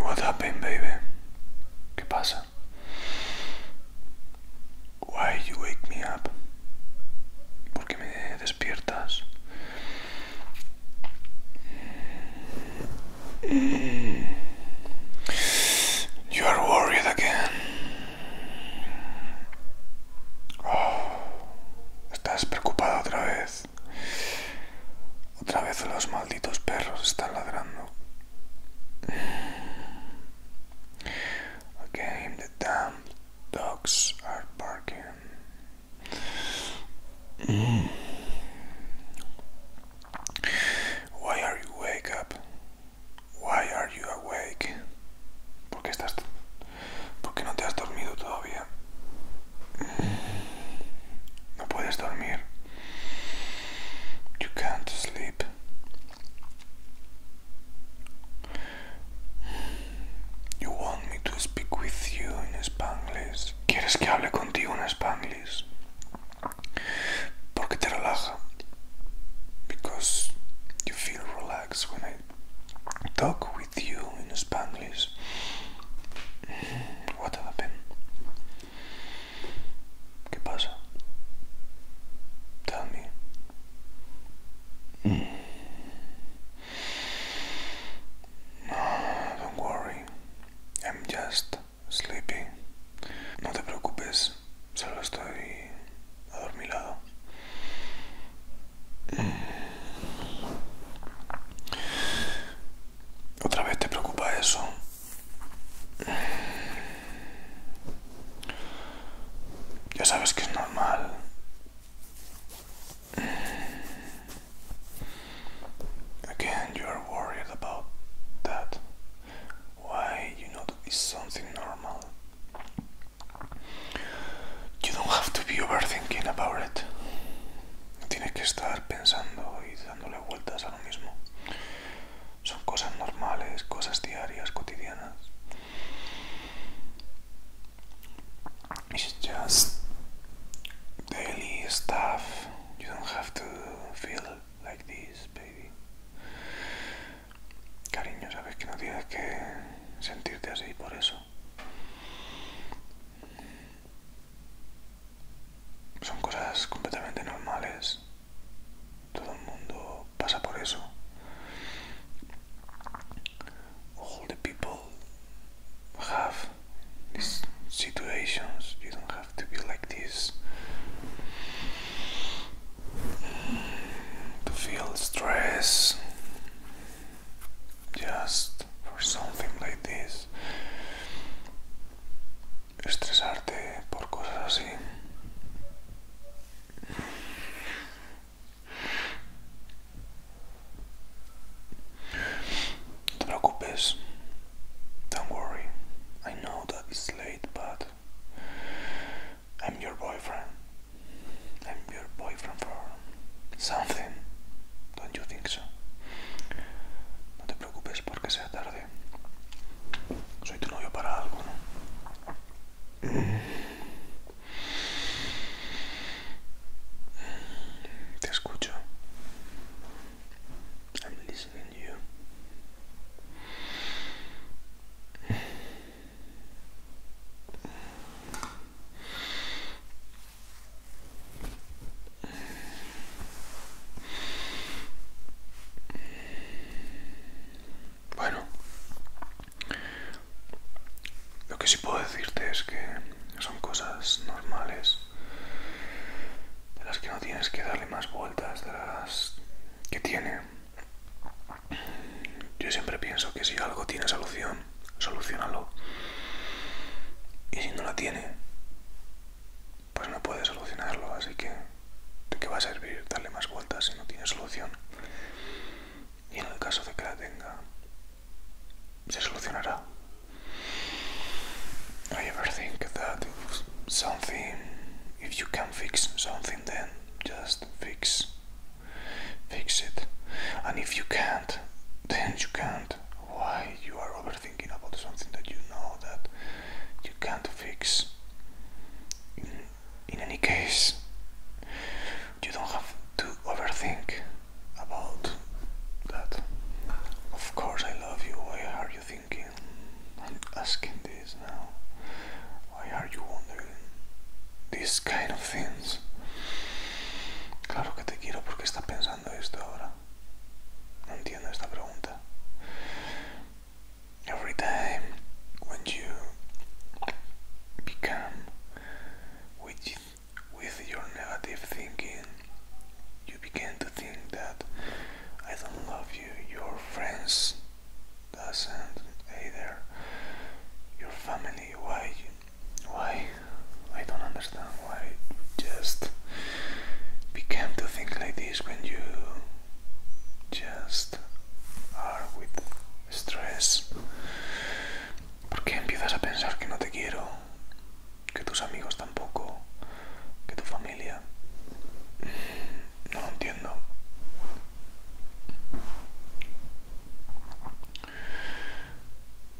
What happened, baby? ¿Qué pasa? Why you wake me up? ¿Por qué me despiertas? You are worried again. Oh, estás preocupado otra vez. Otra vez los malditos perros están ladrando. Again, the damn dogs are barking. Why are you wake up? Why are you awake? ¿Por estás ¿Por no te has dormido todavía? No puedes dormir. You can't sleep. You want me to speak with you in Spanglish. ¿Quieres que hable contigo en Spanglish? Because you feel relaxed when I talk with you in Spanish. Mm, what happened? ¿Qué pasa? Tell me. Mm. don't worry. I'm just sleepy. No te preocupes, solo estoy adormilado. Otra vez te preocupa eso. Ya sabes que es normal. Again, you are worried about that. Why you know it's something normal. You don't have to be overthinking about it. No tienes que estar pensando y dándole vueltas a lo mismo. Son cosas normales, cosas diarias, cotidianas. It's just daily stuff. You don't have to feel like this, baby. Cariño, sabes que no tienes que sentirte así por eso. Son cosas completamente normales. Todo el mundo pasa por eso. All the people have these situations. You don't to be like this to feel stress just for something like this estresarte por cosas así don't worry. I know that it's late, but I'm your boyfriend. I'm your boyfriend for something. Don't you think so? No te preocupes porque sea tarde. Soy tu novio para algo, Te escucho. Bueno, lo que sí puedo decirte es que son cosas normales de las que no tienes que darle más vueltas, de las que tiene. Yo siempre pienso que si algo tiene solución, solucionalo. Y si no la tiene, pues no puede solucionarlo, así que ¿de qué va a servir darle más vueltas si no tiene solución? Y en el caso de que la tenga, se solucionará. I ever think that if something, if you can fix something, then just fix, fix it. And if you can't, then you can't. Why you are overthinking about something that you know that you can't fix? In, any case, you don't have to overthink about that. Of course, I love you. Why are you I'm asking this now. Why are you wondering these kind of things? Claro que te quiero porque estás pensando esto ahora. No entiendo esta pregunta. Every time when you become with, with your negative thinking you begin to think that I don't love you, your friends doesn't either, your family, why, why, I don't understand why you just became to think like this when you just are with stress. ¿Por qué empiezas a pensar que no te quiero? que tus amigos tampoco, que tu familia. No lo entiendo.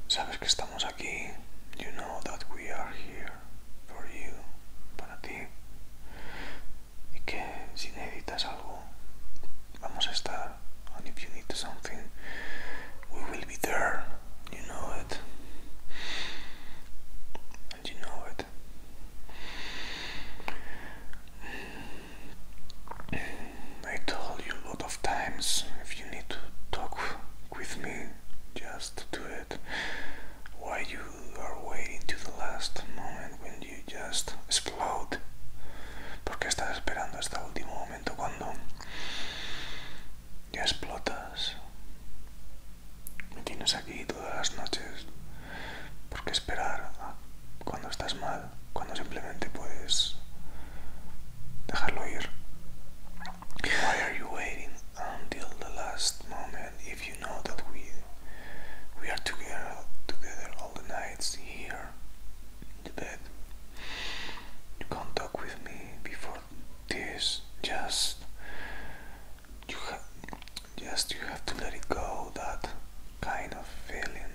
Sabes que estamos aquí. You know that we are here for you, para ti. Y que si necesitas algo, vamos a estar. And if you need something, we will be there. You know it. you know it. Mm, I told you a lot of times if you need to talk with me, just do it. Why you are waiting to the last moment when you just explode? Porque estás esperando hasta el último momento cuando ya explotas. Me tienes aquí todas las noches. ¿Por qué esperar cuando estás mal? Cuando simplemente puedes dejarlo ir. Why are you waiting until the last moment if you know that we we are together together all the nights here in the bed? You can't talk with me before this. Just you have just you have to let it go that kind of feeling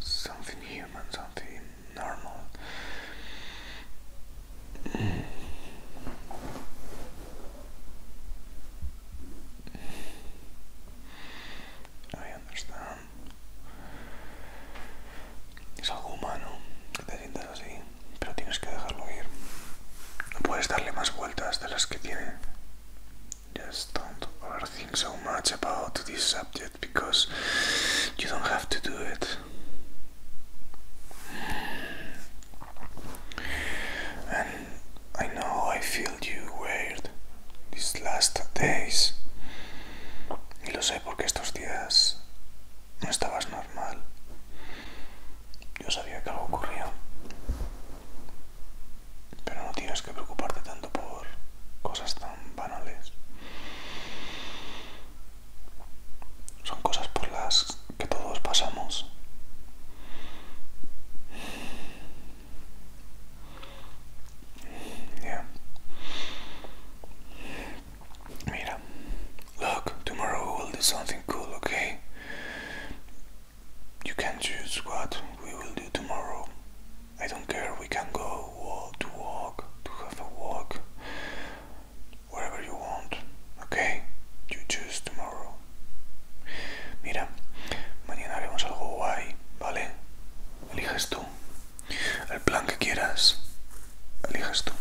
something human something normal I understand es algo humano que pero tienes que dejarlo ir. No puedes darle más vueltas de las que tiene. Just don't overthink so much about this subject because you don't have to do it. And I know I feel you weird these last days. Y lo sé porque estos días no estabas normal. Yo sabía que algo ocurría. Pero no tienes que preocuparte tanto por cosas tan banales. Son cosas por las que todos pasamos. Mira, look, tomorrow we will do something cool, okay? You can choose what we will do tomorrow. I don't care, we can go walk, to walk, to have a walk, wherever you want, okay? You choose tomorrow. Mira, mañana haremos algo guay, ¿vale? Eliges tú. El plan que quieras, eliges tú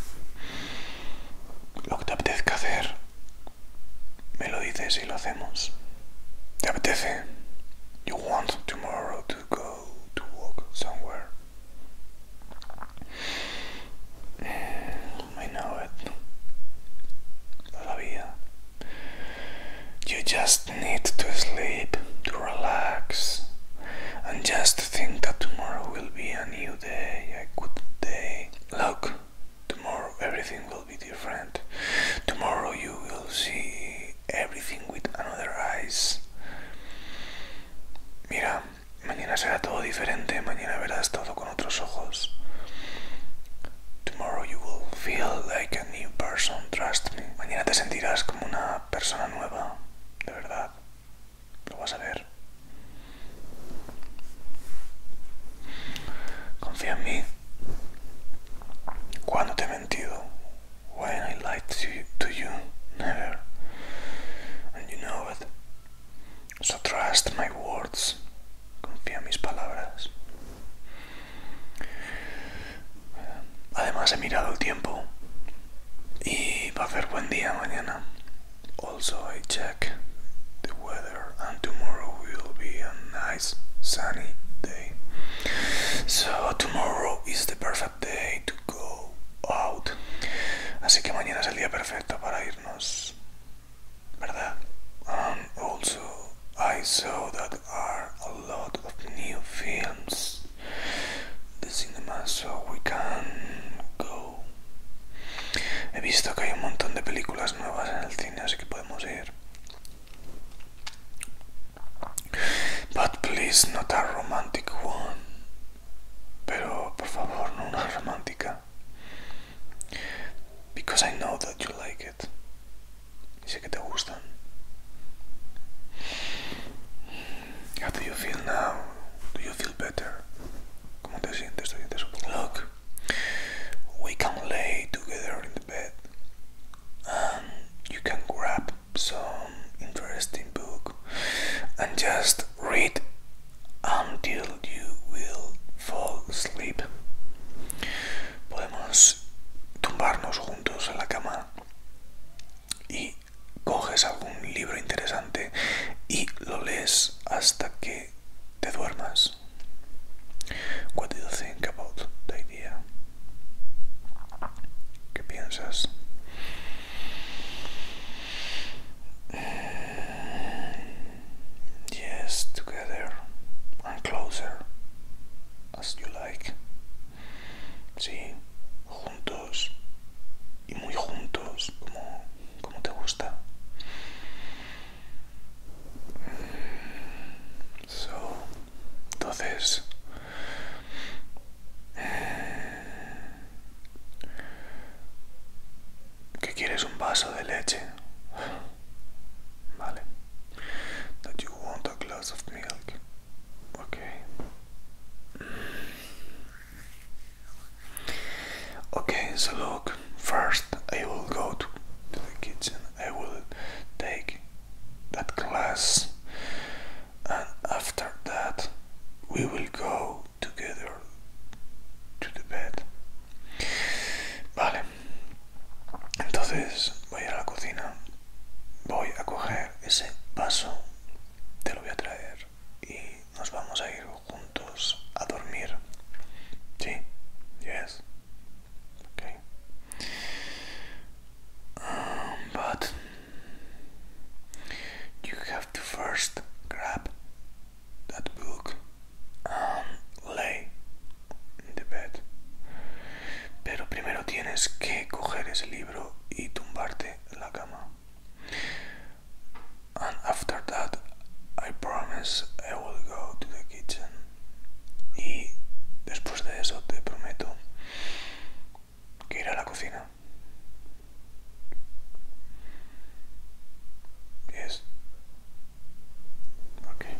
lo que te apetezca hacer, me lo dices y lo hacemos. ¿Te apetece? You want tomorrow to go to walk somewhere. I know it. Todavía. You just need to sleep, to relax, and just think that tomorrow will be a new day, a good day, Look, tomorrow everything will be different. Tomorrow you will see everything with another eyes. Mira, mañana será todo diferente, mañana verás todo con otros ojos. Tomorrow you will feel like a new person, trust me. Mañana te sentirás como una persona nueva, de verdad. Lo vas a ver. Confía en mí. Cuando te he mentido. When I lied to you, to you, never. And you know it. So trust my words. Confía en mis palabras. Además he mirado el tiempo y va a ser buen día mañana. Also I check the weather and tomorrow will be a nice sunny day. So tomorrow is the perfect day to go out. Así que mañana es el día perfecto para irnos. ¿Verdad? And also I saw that there are a lot of new films in the cinema so we can go He visto que hay un montón de películas nuevas en el cine, así que podemos ir. But please not a romantic one. Pero por favor, no una romántica. Because I know that you like it. sé que te gustan. How do you feel now? Do you feel better? ¿Cómo te sientes? ¿Te sientes We can lay together in the bed, and um, you can grab some interesting book and just read until you will fall asleep. Podemos tumbarnos juntos en la cama y coges algún libro interesante y lo lees hasta que que te duermas. What do you think about the idea? ¿Qué piensas? Yes, together and closer as you like. Sí, juntos y muy juntos como como te gusta. So, entonces, eh, ¿qué quieres un vaso de leche? Vale. you want a glass of milk. Okay. Okay, so look, first I will go to, the kitchen, I will take that glass and after that, we will go together to the bed. Vale, entonces voy a la cocina, voy a coger ese vaso, te lo voy a traer y nos vamos a ir juntos a dormir. Sí, yes. Okay. Um, but you have to first grab that book and lay in the bed. Pero primero tienes que coger ese libro y tumbarte en la cama and after that I promise I will go to the kitchen y después de eso te prometo que iré a la cocina yes okay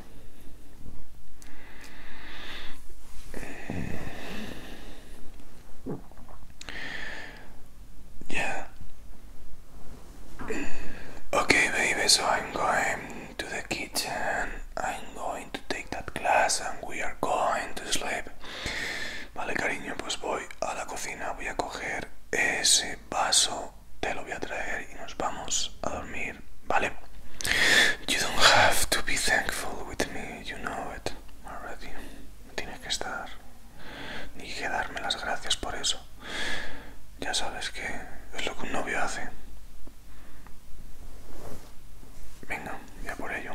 eh. Yeah. Okay, baby, so I'm going to the kitchen. I'm going to take that class and we are going to sleep. Vale, cariño, pues voy a la cocina, voy a coger ese vaso, te lo voy a traer y nos vamos a dormir, ¿vale? You don't have to be thankful with me, you know it already. Tienes que estar ni que darme las gracias por eso. Ya sabes que es lo que un novio hace. Venga, ya por ello.